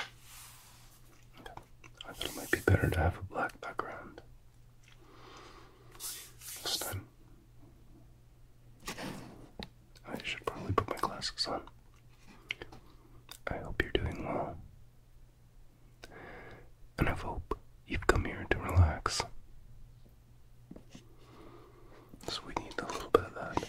I thought it might be better to have a black background this time. I should probably put my glasses on. I hope you're doing well. And I hope you've come here to relax. So we need a little bit of that.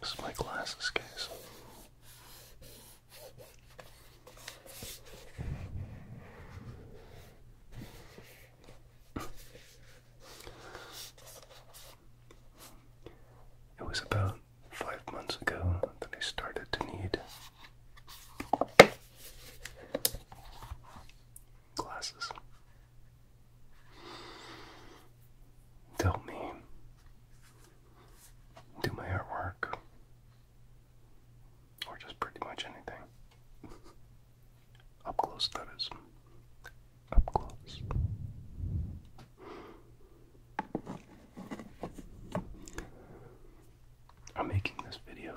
This is my glasses case. It was about five months ago that I started to need Glasses. Tell me. Do my artwork. Or just pretty much anything. Up close, that is. Up close. I'm making this video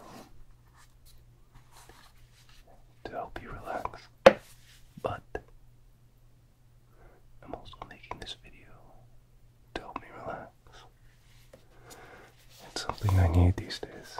to help you relax, but I'm also making this video to help me relax. It's something I need these days.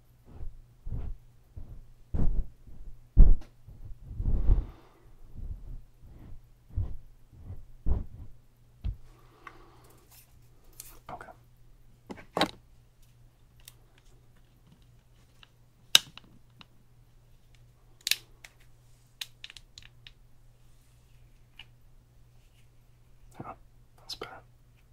Okay. Oh, that's better.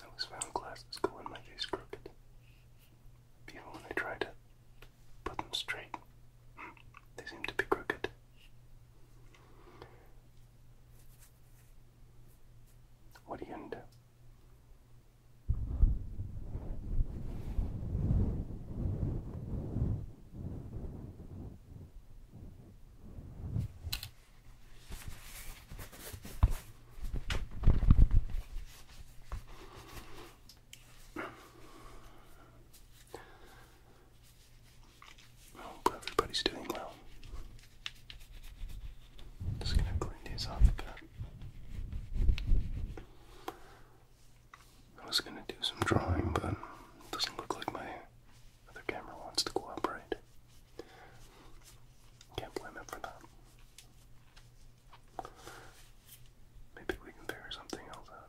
I always found glasses go in my face crooked. Even when I try to put them straight, they seem to be crooked. What are you gonna do? hope everybody's doing well. Just gonna clean these off a bit. I was gonna do some drawing, but it doesn't look like my other camera wants to cooperate. Can't blame it for that. Maybe we can figure something else out.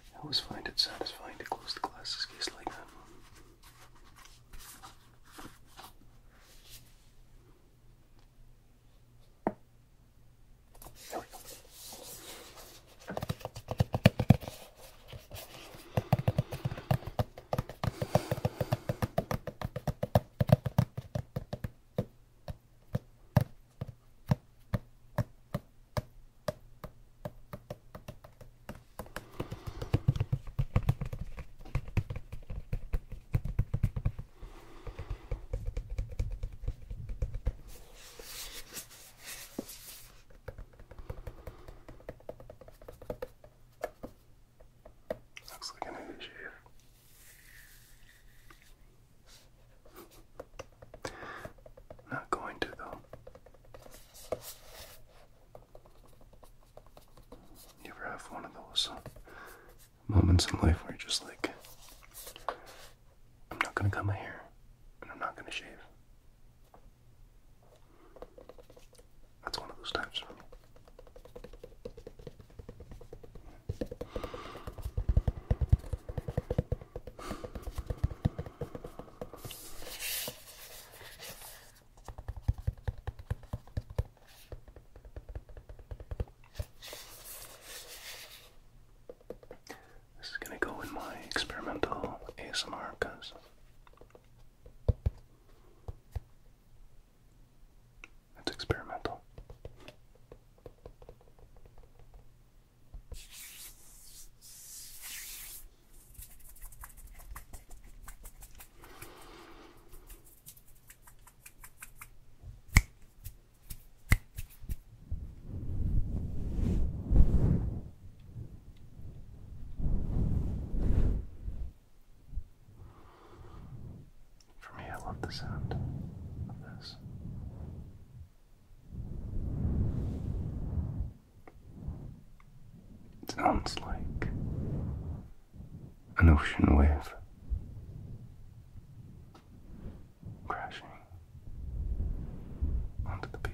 I always find it satisfying to close the glasses case like that. There we go. Looks like an handkerchief. Not going to though. You ever have one of those uh, moments in life where you're just like, I'm not gonna cut my hair and I'm not gonna shave? That's one of those times for this is going to go in my experimental ASMR because it's experimental. For me, I love the sound of this. It sounds like an ocean wave crashing onto the beach.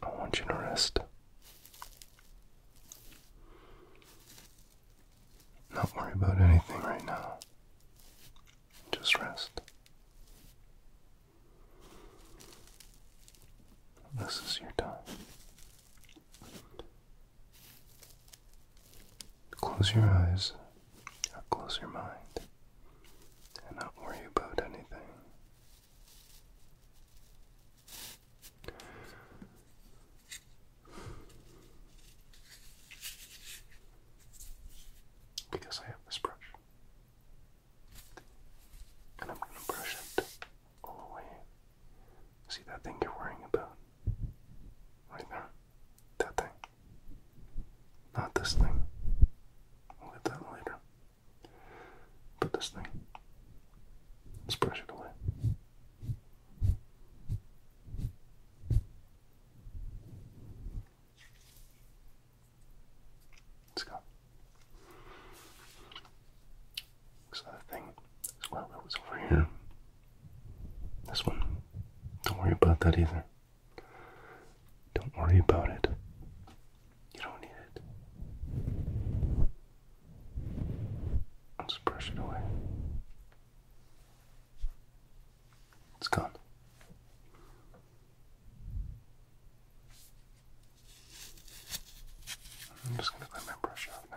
I want you to rest. Not worry about anything right now. Just rest. This is your time. Close your eyes, close your mind, and not worry about anything. Because I have this brush. And I'm going to brush it all the way See that thing you're worrying about? Right there. That thing. Not this thing. We'll get that later. But this thing. Let's brush it away. Let's go. This other thing as well that was over here. This one. Don't worry about that either. Don't worry about it. You don't need it. I'll just brush it away. It's gone. I'm just going to let my brush off now.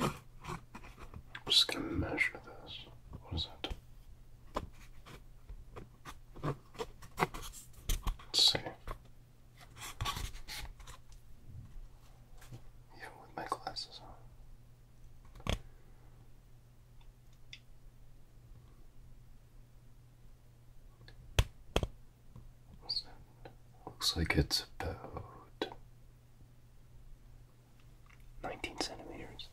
I'm just gonna measure this. What is it? Let's see. Yeah, with my glasses on looks like it's about 19 centimeters.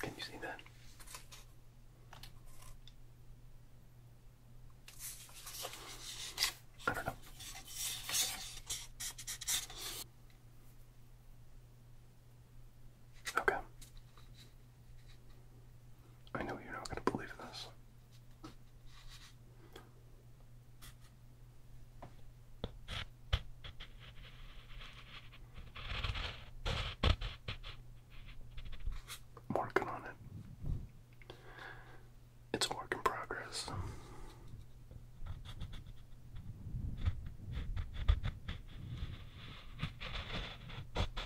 Can you see that? I don't know. Okay. I know you're not going to believe this. working on it. It's a work in progress.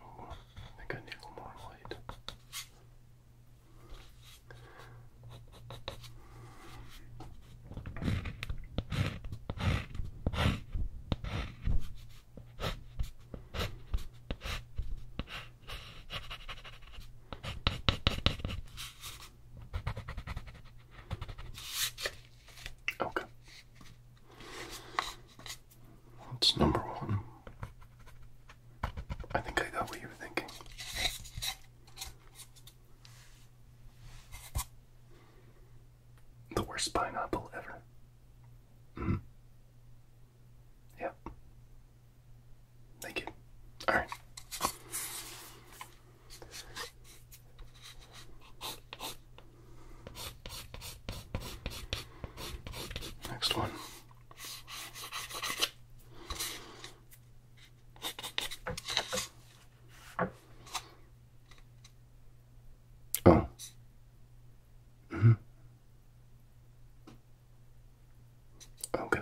Oh, I think I need a little more light. Okay. That's number one. I think I got what you were thinking. The worst pineapple ever. hmm. Yep. Thank you. Alright. Next one. Oh. hmm Okay.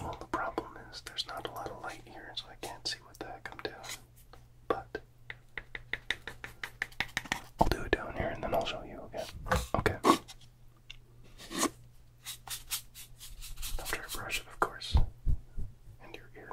Well, the problem is there's not a lot of light here, so I can't see what the heck I'm doing. But I'll do it down here and then I'll show you again. Okay. After I brush it, of course, and your ear.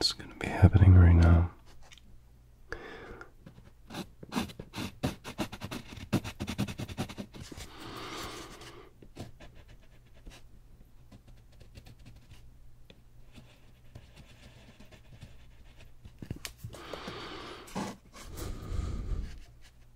It's going to be happening right now.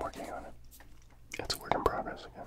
working on it. It's a work in progress again.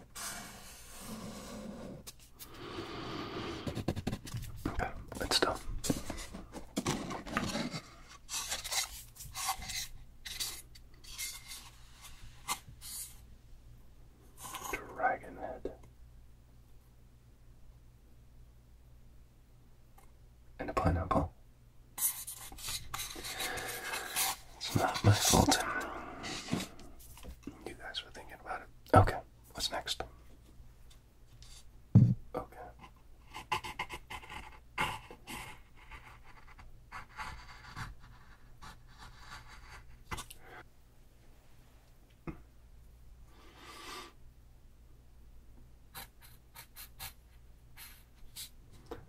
Okay, it's done. Dragon head. And a pineapple. It's not my fault. You guys were thinking about it. Okay, what's next? Okay.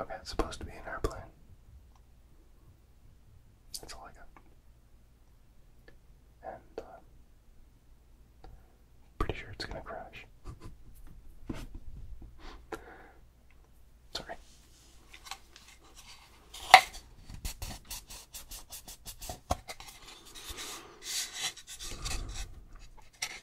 Okay, it's supposed to be an airplane. That's all I got. And uh, pretty sure it's gonna crash. Sorry.